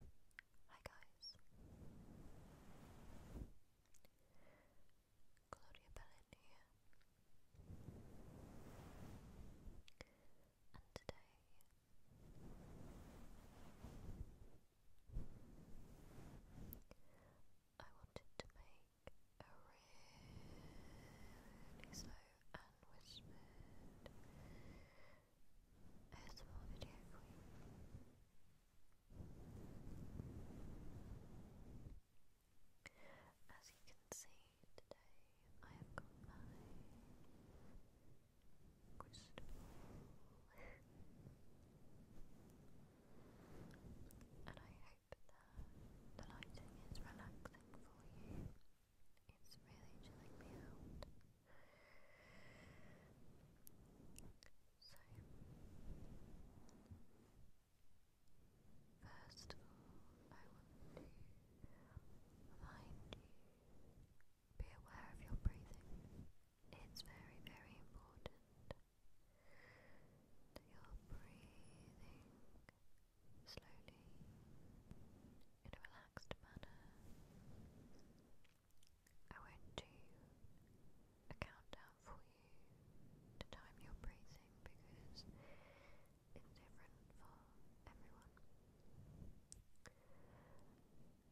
Hi guys. Claudia Bellin here. And today I wanted to make a really slow and whispered as you can see today, I have got my crystal. and I hope the lighting is relaxing for you. It's really chilling me out. So, first of all, I want to remind you be aware of your breathing. It's very, very important that you're breathing slowly in a relaxed manner. I won't do a countdown for you to time your breathing because it's different for everyone.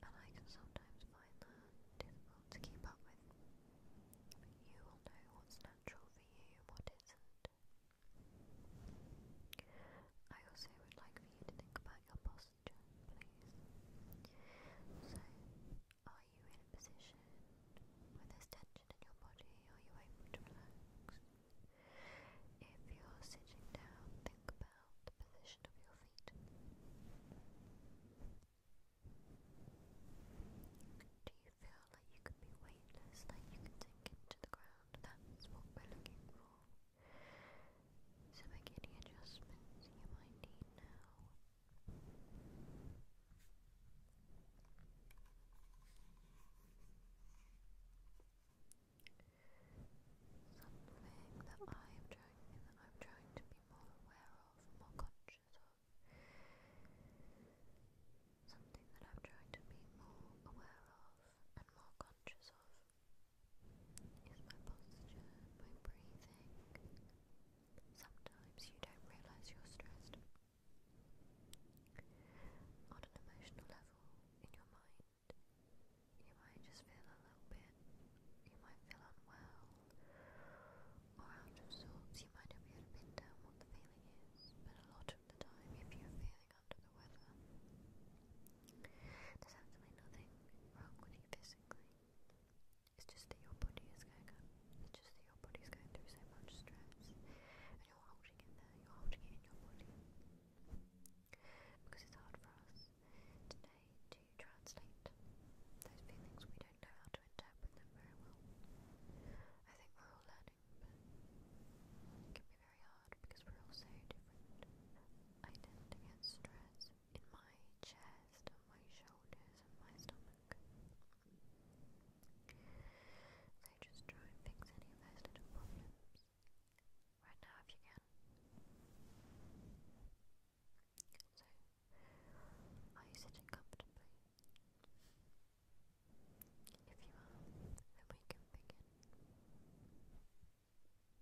And I can sometimes find that difficult to keep up with. you will know what's natural for you and what isn't. I also would like for you to think about your posture. So, are you in a position where there's tension in your body? Are you able to relax? If you're sitting down, think about the position of your feet. Do you feel like you could be weightless, like you could sink into the ground? That's what we're looking for. So make any adjustments you might need now. Something that I am trying that I'm trying to be more aware of, more conscious of. Something that I'm trying to be more aware of and more conscious of is my posture, my breathing. Sometimes you don't realize you're stressed. On an emotional level, in your mind, you might just feel a little bit, you might feel unwell or out of sorts. You might not be pin down what the feeling is, but a lot of the time, if you're feeling under the weather, there's absolutely nothing wrong with you physically. It's just that your body is going It's just that your body's going through so much stress, and you're holding it there. You're holding it in your body because it's hard for us today to translate those feelings. We don't know how to interpret them very well. I think we're all learning, but it can be very hard because we're all so different. I tend to get stressed in my chest, on my shoulders, and my stomach. So just try and fix any of those little problems right now if you can. So, are you sitting comfortably? If you are, then we can begin. We want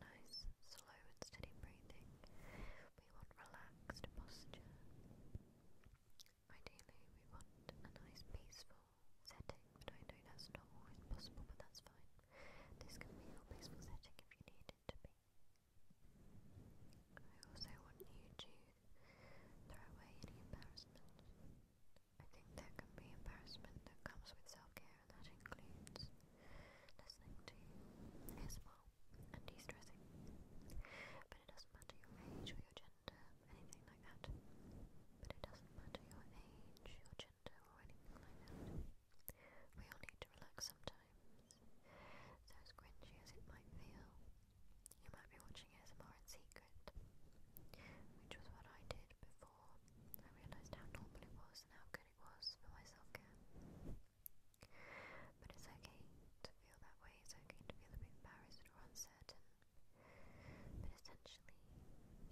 nice, slow and steady breathing. We want relaxed posture. Ideally, we want a nice, peaceful setting, but I know that's not always possible, but that's fine. This can be your peaceful setting if you need it to be. I also want you to throw away any embarrassment. I think there can be embarrassment that comes with self-care and that includes listening to ASMR and de-stressing. But it doesn't matter your age or your gender, anything like that. But it doesn't matter your age, your gender or anything like that. We all need to relax sometimes. So as cringy as it might feel, you might be watching ASMR in secret, which was what I did before before, I realised how normal it was and how good it was for my self-care. But it's okay to feel that way, it's okay to feel a bit embarrassed or uncertain. But essentially,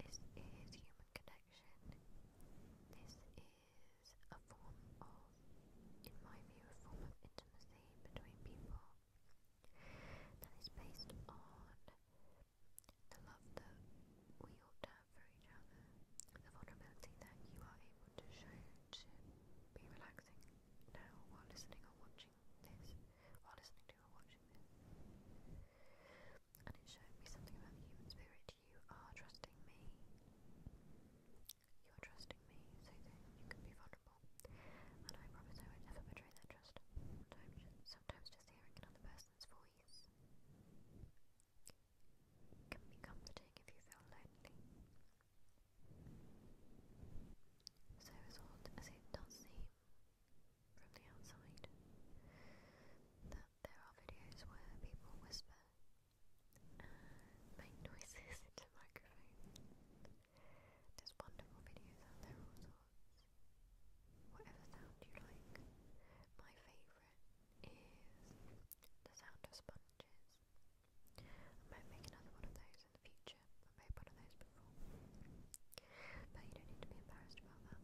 this is human connection. This is a form of, in my view, a form of intimacy between people that is based on the love that we ought to have for each other, the vulnerability that you are able to show to be relaxing now while listening or watching this, while listening to or watching this. And it showed me something about the human spirit. You are trusting me. You are trusting me so that you can be vulnerable. And I promise I won't betray that trust. Sometimes just, sometimes just hearing another person can be comforting if you feel lonely. So as odd as it does seem from the outside, that there are videos where people whisper make noises into microphones. There's wonderful videos out there all sorts whatever sound you like. My favourite is the sound of sponges. I might make another one of those in the future. i made one of those before. But you don't need to be embarrassed about that.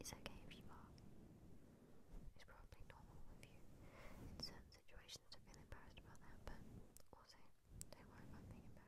It's okay if you are. It's probably normal with you in certain situations to feel embarrassed about that, but also don't worry about being embarrassed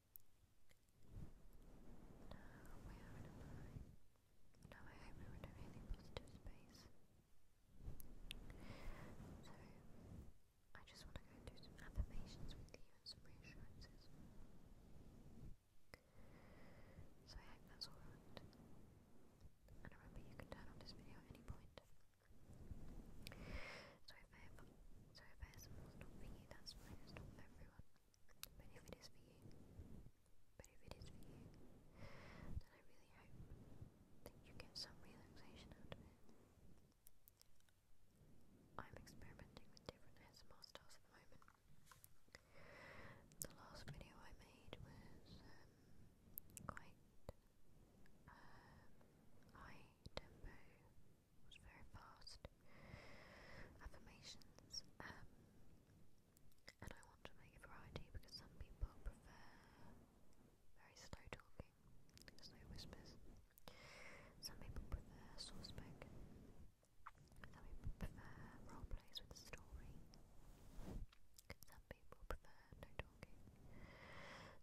Now, where am I? Now I hope we're in a positive space. So, I just want to go through some affirmations with you and some reassurances. So I hope that's alright. And remember you can turn off this video at any point. So if ever so if ASMR's not for you, that's fine, it's not for everyone. But if it is for you, but if it is for you, then I really hope that you get some relaxation out of it. I'm experimenting with different ASMR styles at the moment. The last video I made was um, quite um, high tempo very fast. Affirmations. Um, and I want to make a variety because some people prefer very slow talking, slow whispers. Some people prefer source spoken. Some people prefer role plays with a story. Some people prefer no talking.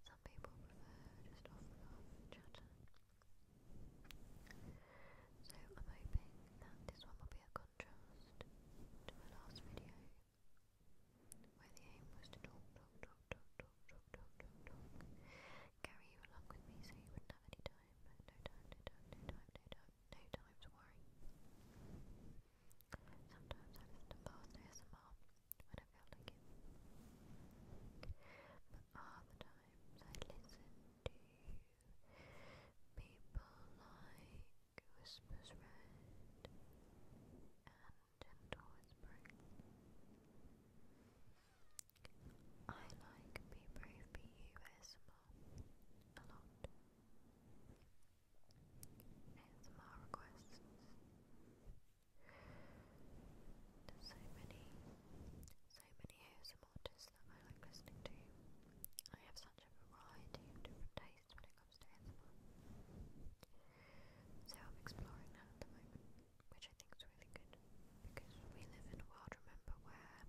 Some people prefer just off the cuff chatter. So I'm hoping that this one will be a contrast to my last video where the aim was to talk, talk, talk, talk, talk, talk, talk, carry you along with me so you wouldn't have any time, no time, no time, no time, no time, no time to worry. Sometimes I listen to fast ASMR when I feel like it are the times I listen to you. People like Whispers Red and Gentle I like Be Brave Be a lot. ASMR requests. so many, so many ASMR of artists that I like listening to. I have such a variety of different tastes when it comes to ASMR. So I'm exploring that at the moment, which I think is really good because we live in a world, remember, where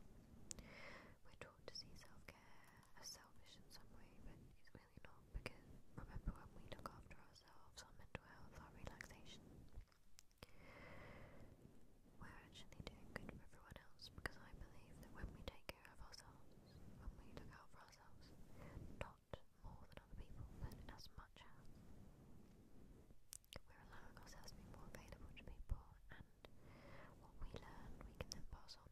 we're taught to see self-care as selfish in some way, but it's really not because remember when we look after ourselves, our mental health, our relaxation, we're actually doing good for everyone else because I believe that when we take care of ourselves, when we look out for ourselves, not more than other people, but as much as we're ourselves to be more available to people, and what we learn we can then pass on.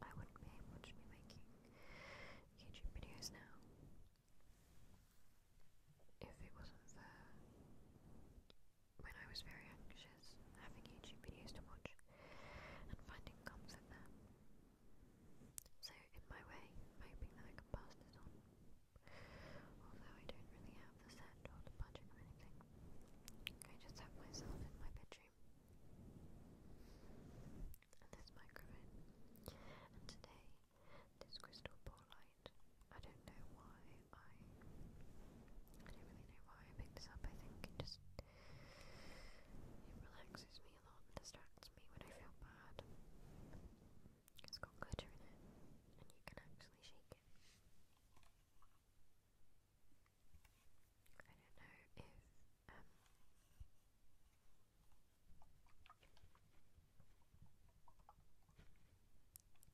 I wouldn't be able be making YouTube videos now if it wasn't for when I was very anxious, having YouTube videos to watch and finding comfort there. So, in my way, I'm hoping that I can pass this on. Although I don't really have the set or the budget or anything, I just have myself in my bedroom and this microphone. And today this crystal ball light. I don't know why I I don't really know why I picked this up. I think it just it relaxes me a lot and distracts me when I feel bad. It's got glitter in it and you can actually shake it. I don't know if um,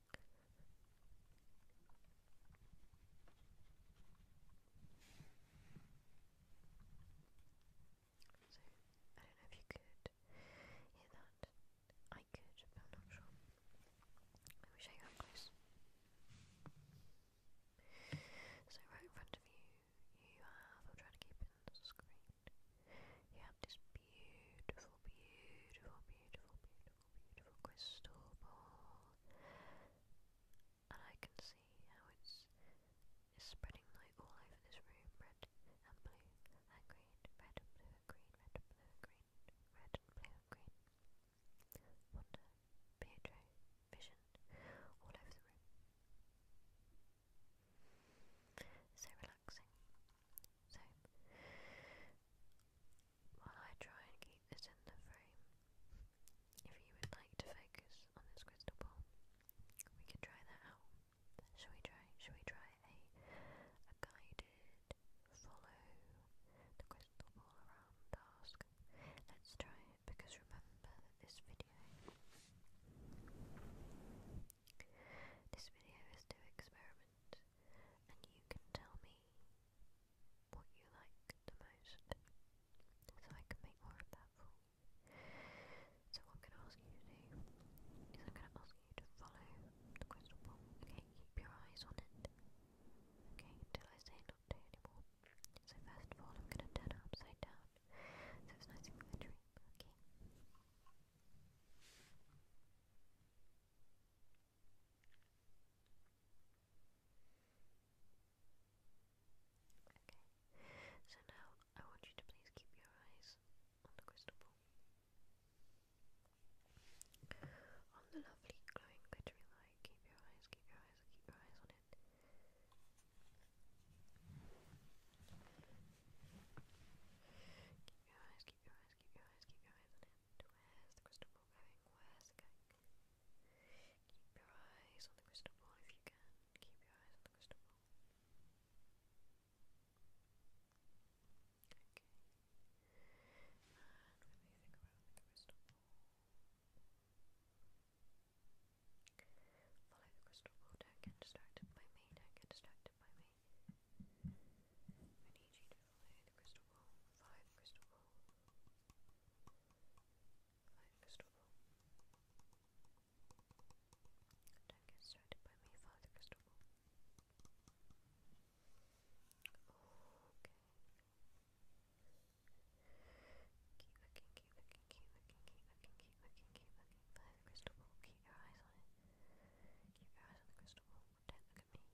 so, I don't know if you could hear that. I could, but I'm not sure. Let me show you close. So, right in front of you, you have, I'll try to keep it on the screen, you have this beautiful, beautiful, beautiful, beautiful, beautiful crystal ball. And I can see how it's, spreading light all over this room, red and blue and green, red blue green, red blue green, red blue green. Wonder, Pietro, Vision, all over the room. So relaxing. So, while I try and keep this in the frame, if you would like to focus on this crystal ball, we can try that out. Shall we try? Shall we try a, guided follow the crystal ball around task? Let's try it because remember this video, this video is to experiment and you can tell me what you like the most, so I can make more of that for you. So what I'm going to ask you to do is I'm going to ask you to follow the crystal ball, okay? Keep your eyes on it, okay, until I say not to anymore. So first of all, I'm going to turn it upside down, so it's nice and okay? Okay, so now I want you to please keep your eyes on the crystal ball. On the lovely glowing glittery light, keep your eyes, keep your eyes, keep your eyes on it. Keep your eyes, keep your eyes, keep your eyes, keep your eyes on it. Where's the crystal ball going? Where's it Keep your eyes on the crystal ball if you can. Keep your eyes on the crystal ball. Okay. And when think around the crystal ball, follow the crystal ball. Don't get distracted by me. Don't get distracted by me. I need you to lay the crystal ball. Five crystal ball. Five crystal ball. Don't get started by me, Father Crystal Ball. Okay. Keep looking, keep looking, keep looking, keep looking, keep looking, keep looking. By the crystal ball, keep your eyes on it. Keep your eyes on the crystal ball. Don't look at me.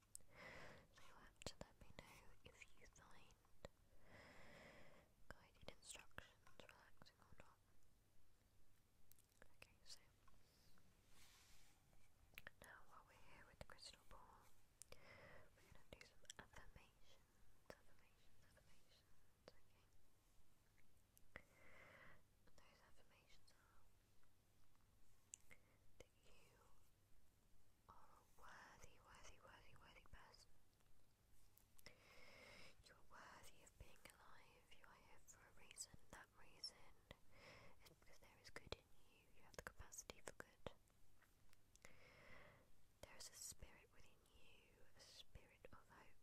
So you have to let me know if you find guided instructions relaxing or not. Okay, so now while we're here with the crystal ball, we're going to do some affirmations, affirmations, affirmations, those affirmations are that you are a worthy, worthy, worthy, worthy person. You are worthy of being alive. You are here for a reason. That reason is because there is good in you. You have the capacity for good. There is a spirit within you, a spirit of hope,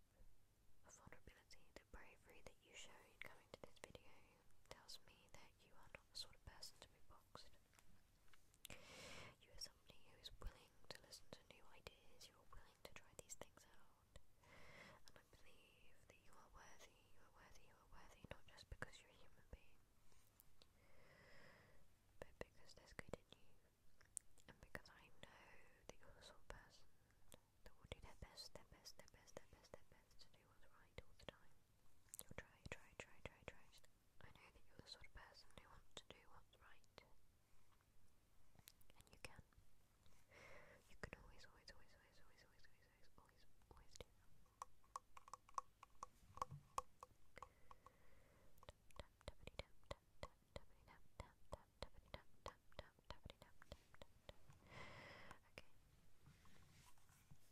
of vulnerability, the bravery that you show coming to this video tells me that you are not the sort of person to be boxed. You are somebody who is willing to listen to new ideas, you are willing to try these things out. And I believe that you are worthy, you are worthy, you are worthy, not just because you're a human being, but because there's good in you. And because I know that you're the sort of person that will do their best, their best, their best, their best, their best to do what's right all the time. So try, try, try, try, try. I know that you're the sort of person who wants to do what's right. And you can. You can always, always, always, always, always, always, always, always, always do Okay.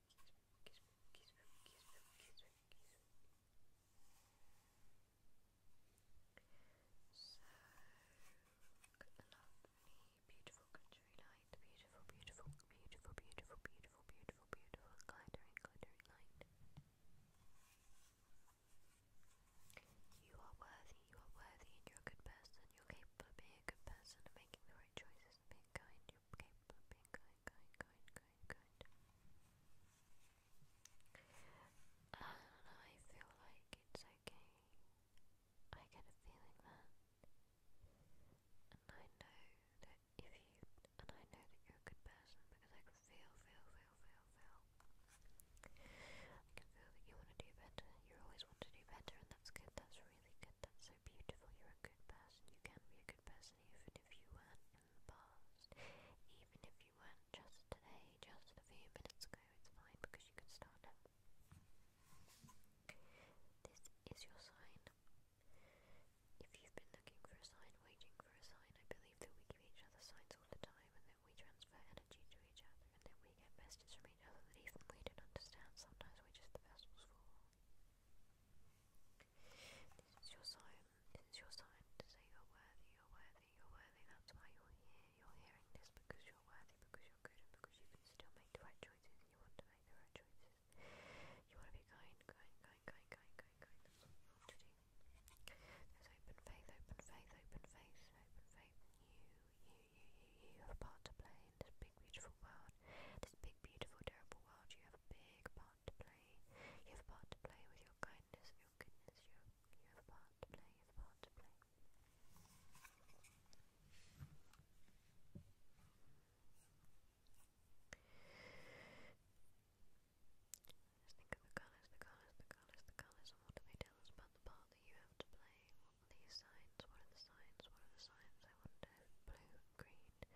lovely, beautiful country light, beautiful, beautiful, beautiful, beautiful, beautiful, beautiful, beautiful, glittering, glittering light. You are worthy, you are worthy, and you're a good person. You're capable of being a good person making the right choices being kind keep, keep being kind, kind, kind, kind, I feel like it's okay. I get a feeling that. And I know that if you, and I know that you're a good person because I can feel, feel, feel, feel, feel. I can feel that you want to do better. You always want to do better and that's good, that's really good. That's so beautiful. You're a good person. You can be a good person even if you weren't in the past. Even if you weren't just today, just a few minutes ago, it's fine because you can start now. This is your sign. If you've been looking for a sign, waiting for a sign, I believe that we give each other signs all the time and that we transfer energy to each other and that we get messages from each other that even we don't understand. Sometimes we just the vessels for. This your time. This your time to say you're worthy, you're worthy, you're worthy. That's why you're here. You're hearing this because you're worthy, because you're good, because you can still make the right choices you want to make the right choices. You want to be kind, kind, kind, kind, kind, kind, kind. There's open faith, open faith, open faith, open faith. You, you, you, you, you have a part to play in this big beautiful world, this big beautiful terrible world, you have a big part to play. You have a part to play with your kindness your goodness. You you have a part to play. You have a part to play. Let's think of the colours, the colours, the colours, the colours, and what do they tell us about the part that you have to play? What are these signs? What are the signs? What are the signs? I wonder. Blue green,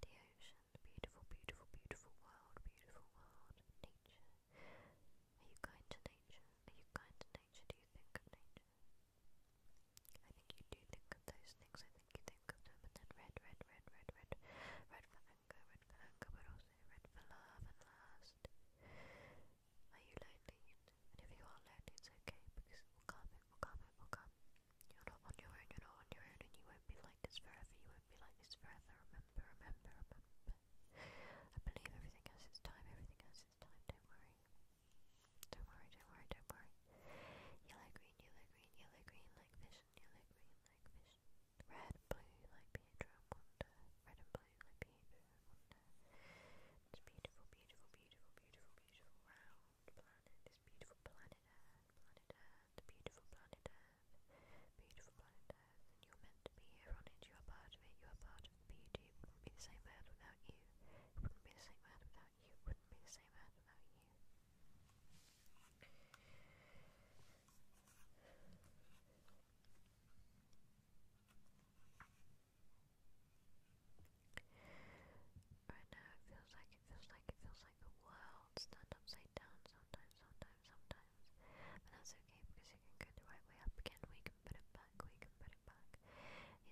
the ocean, beautiful, beautiful, beautiful world, beautiful world, nature. Are you kind to nature? Are you kind to nature? Do you think of nature? I think you do think of those things, I think you think of them, and then red, red, red, red, red, red for anger, red for anger, but also red for love and last. Are you lonely? And if you are lonely, it's okay, because it will come, it will come, it will come. You're not on your own, you're not on your own, and you won't be like this forever, you won't be like this forever. Remember, remember, remember. I believe everything has its time, everything has its time, don't worry. Don't worry, don't worry, don't worry. Yellow, green, yellow, green, yellow, green, like vision, yellow, green, like vision. Red blue, like Pietro and Red blue, like Pietro and It's beautiful, beautiful, beautiful, beautiful, beautiful round planet this beautiful planet Earth, planet Earth, the beautiful planet Earth, beautiful planet Earth, you're meant to be here on it, you are part of it, you are part of the it wouldn't be the same Earth without you, it wouldn't be the same Earth without you, it wouldn't be the same Earth without you. Right now it feels like, it feels like, it feels like the world's turned upside down sometimes, sometimes, sometimes. But that's okay because it can go the right way up again, we can put it back, we can put it back.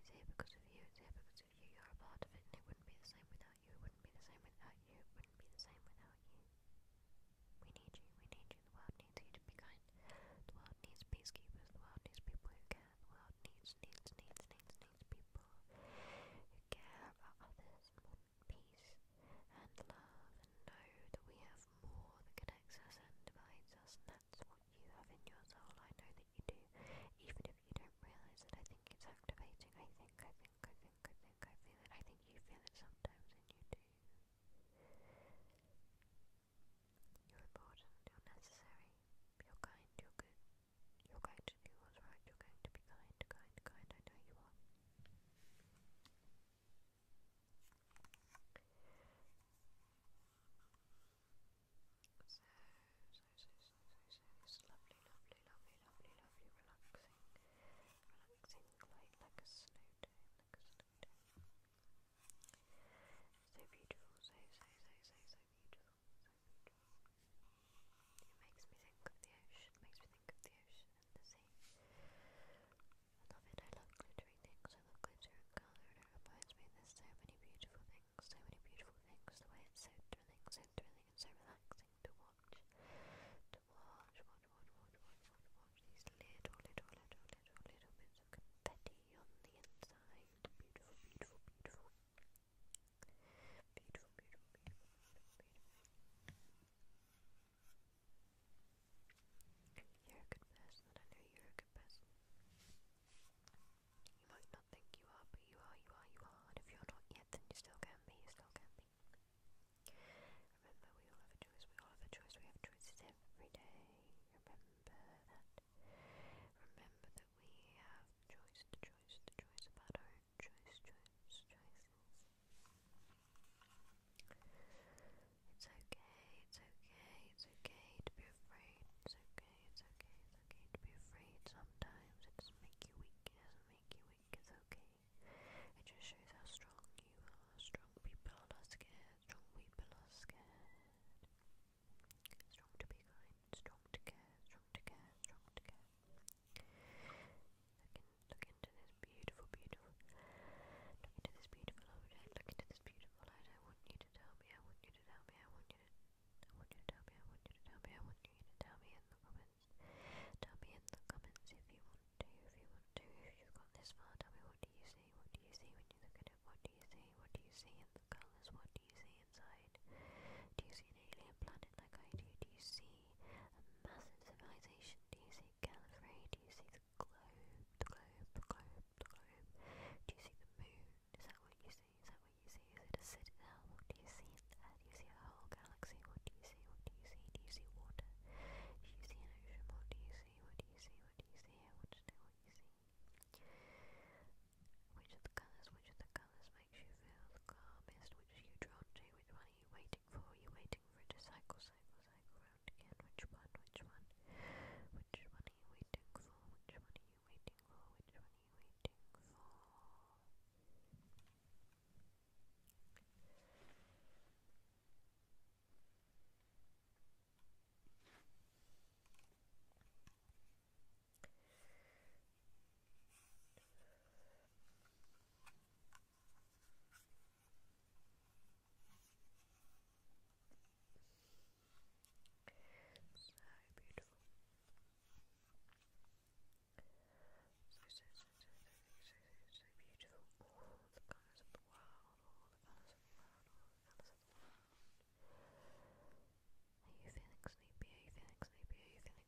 It's here because of you, it's here because of you, you're a part of it and it wouldn't be the same without you, it wouldn't be the same without you, it wouldn't be the same without you. We need you, we need you, the world needs you to be kind. The world needs peacekeepers, the world needs people who care, the world needs needs, needs, needs, needs, people who care about others want peace and love and know that we have more that connects us and divides us, and that's what you have in your soul. I know that you do, even if you don't realise it. I think it's activating. I think, I think, I think, I think, I feel it. I think you feel it sometimes, and you do. You're important, you're necessary, you're kind, you're good, you're going to do what's right, you're going to be kind, kind, kind, I know you are. So, so, so, so, so, so, lovely, lovely, lovely, lovely, lovely, relaxing, relaxing, like a snow day, like a snow day. So beautiful, so, so, so, so beautiful. It makes me think of the ocean, makes me think of the ocean and the sea. I love it, I love glittery things, I love glitter and it reminds me there's so many beautiful things, so many beautiful things, the way it's so thrilling, so thrilling and so relaxing to watch. To watch, watch, watch, watch, watch, watch, these little, little, little, little, little bits of confetti on the inside. Beautiful, beautiful, beautiful. Beautiful, beautiful, beautiful, beautiful. You're a good person. I know you're a good person. You might not think you are, but you are, you are, you are. And if you're not yet, then you still can be. You still can be. Remember, we all have a choice. We all have a choice. We have choices every day. Remember that. Remember that we have choice, the choice, the choice about our choice, choice, choices. It's okay, it's okay, it's okay to be afraid. It's okay, it's okay, it's okay to be afraid. Sometimes it doesn't make you weak, it doesn't make you weak, it's okay. It just shows how strong you are. Strong people are not scared, strong people are scared. Strong to be kind, strong to care, strong to care, strong to care. Look, into this beautiful, beautiful. Look into this beautiful object. Look into this beautiful light. I want you to tell me. I want you to tell me. I want you to. I want you to tell me. I want you to tell me. I want you to tell me in the comments. Tell me in the comments if you want to. If you want to. If you've got this far, tell me what do you see? What do you see when you look at it? What do you see? What do you see in the colors? What do you see do you see an alien planet like I do? Do you see a massive civilization? Do you see Gallifrey? Do you see the globe, the globe, the globe, the globe? Do you see the moon? Is that what you see? Is that what you see? Is it a citadel? What do you see Do you see a whole galaxy? What do you see? What do you see? Do you see water? Do you see an ocean? What do you see? What do you see? What do you see? I want you see. Which of the colours? Which of the colours? makes you feel calmest, which you drawn to, which one are you waiting for, you waiting for it cycle, cycle, cycle round again, which one, which one, which one are you waiting for, which one are you waiting for, which one are you waiting for? So beautiful. So, so, so, so, so, so, beautiful. All the colours of the world, all the colours of the world, all the colours of the world. Are you feeling sleepy? Are you feeling sleepy? Are you feeling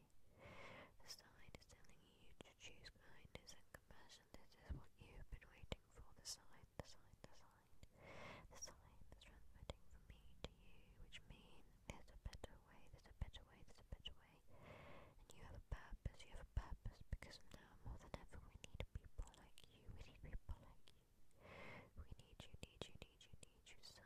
charity. The sign is telling you to choose kindness and compassion. This is what you've been waiting for. The sign, the sign, the sign. The sign is transmitting from me to you, which means there's a better way, there's a better way, there's a better way. And you have a purpose, you have a purpose, because now more than ever we need people like you. We need people like you. We need you, need you, need you, need you so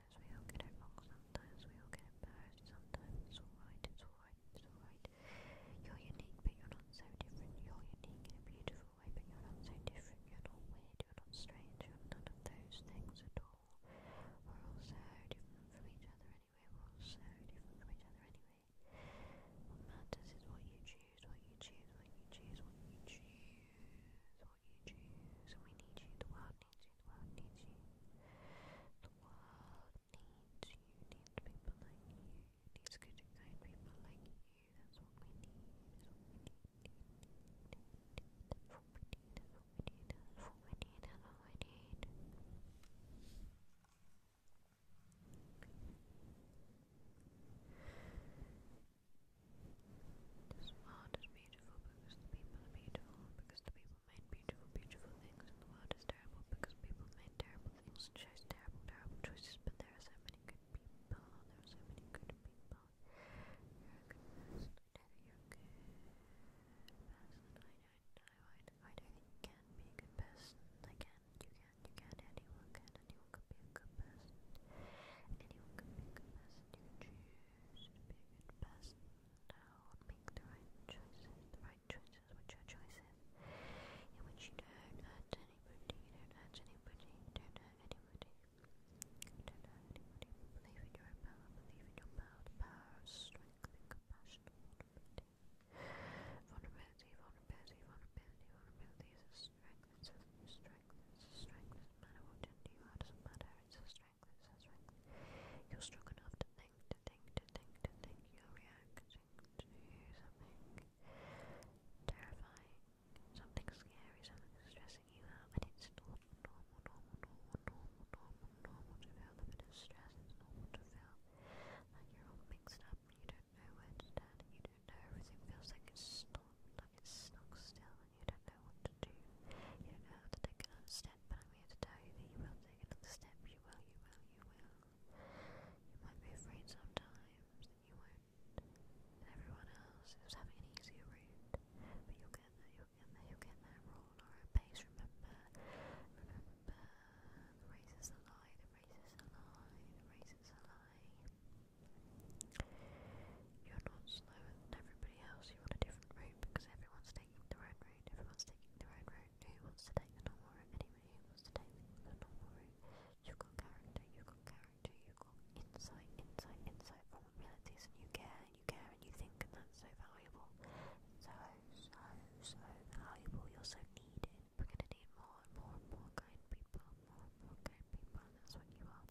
Sometimes we all get it sometimes we all get embarrassed, sometimes it's alright, it's alright, it's alright. You're unique, but you're not so different. You're unique in a beautiful way, but you're not so different. You're not weird, you're not strange, you're none of those things at all. We're all so different from each other anyway, we're all different from each other anyway. What matters is what you choose, what you choose, what you choose, what you choose, what you choose. we need you, the world needs you you, the world needs you. The world needs you, needs people like you, needs good and kind people like you. That's what we need, that's what we need. That's what we need, that's what we need, that's what we need, that's what we need. This world is beautiful because the people are beautiful, because the people made beautiful, beautiful things, and the world is terrible because people made terrible things and chose terrible, terrible choices. But there are so many good people. There are so many good people. You're a good person. you're a good person. I don't know. I, I do you can be a good person. I can. You can. You can. Anyone can. Anyone can be a good person. Anyone can be a good person. You choose to be a good person now make the right choices, the right choices which are choices in which you don't hurt anybody, you don't hurt anybody, don't hurt anybody, don't hurt anybody. Believe in your power, believe in your power, the power of strength and compassion vulnerability. Vulnerability, vulnerability, vulnerability, is strength, it's a strength, it's a strength, it doesn't matter what you are, it doesn't matter, strength, You're strong enough to think, to think, to think, to think. You're reacting to something terrifying, something scary, something stressing you out, and it's normal, normal, normal, normal, normal, normal, normal to feel the bit of stress. normal to feel like you're all mixed up. You don't know where to stand. You don't know everything feels like it's stuck, like it's stuck still, and you don't know what to do. You don't know how to take another step. But I'm here to tell you that you will take another step, you will, you will, you will. You might be afraid sometimes, and you won't. everyone else is having an easier route. But you'll get there, you'll get there, you'll get there, roll or a pace, remember. Remember, the race is a lie, the race is a lie, the race is a lie. You're not slower than everybody else, you're on a different route because everyone's taking the right route, everyone's taking the right route, who wants to take the normal route, anyone who wants to take the normal route, you've got character, you've got character, you've got insight, insight, insight from and you care, and you care, and you think, and that's so valuable, so, so, so valuable, you're so needed, we're gonna need more and more and more kind people, more and more kind people, and that's what you are,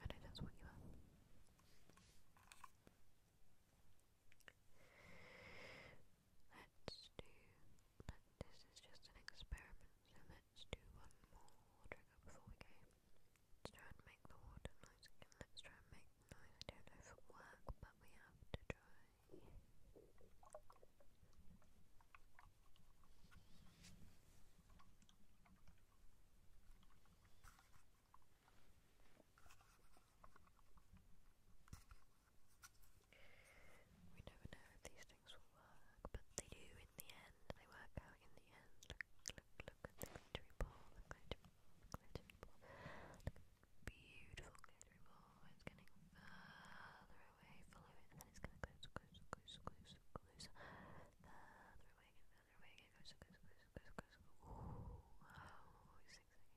I know that's what you are. Let's do. this is just an experiment, so let's do one more trigger before we go. Let's try and make the water noise Let's try and make I don't know if it'll work, but we have to try. We never know if these things will work, but they do in the end. They work out in the end. Look, look, look at ball, the glitter, ball. beautiful glittery ball. It's getting further away. Follow it, and then it's going to closer, closer, closer, closer, closer. Further away, further away. It goes, goes, goes, goes, goes. Ooh, wow, oh,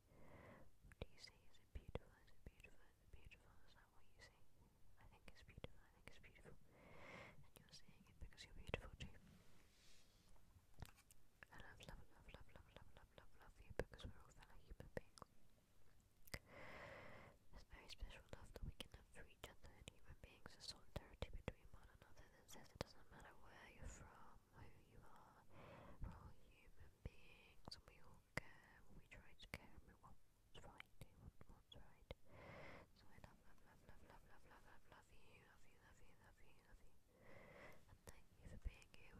What do you say? Is it beautiful? Is it beautiful? Is it beautiful? Is that what you say? I think it's beautiful. I think it's beautiful. And you're saying it because you're beautiful too. I love, love, love, love, love, love, love, love, you because we're all fellow human beings. This very special love that we can have for each other and human beings is solidarity between one another that says it doesn't matter where you're from, who you are. We're human beings and we all care. We try to care we want what's right, do want what's right. So I love, love, love, love, love, love, love, love, love you, love you, love you, love you, And thank you for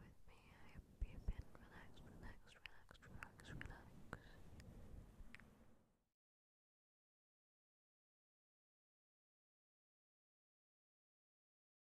being here with me. I hope you've relaxed, relaxed, relaxed, relaxed, relaxed.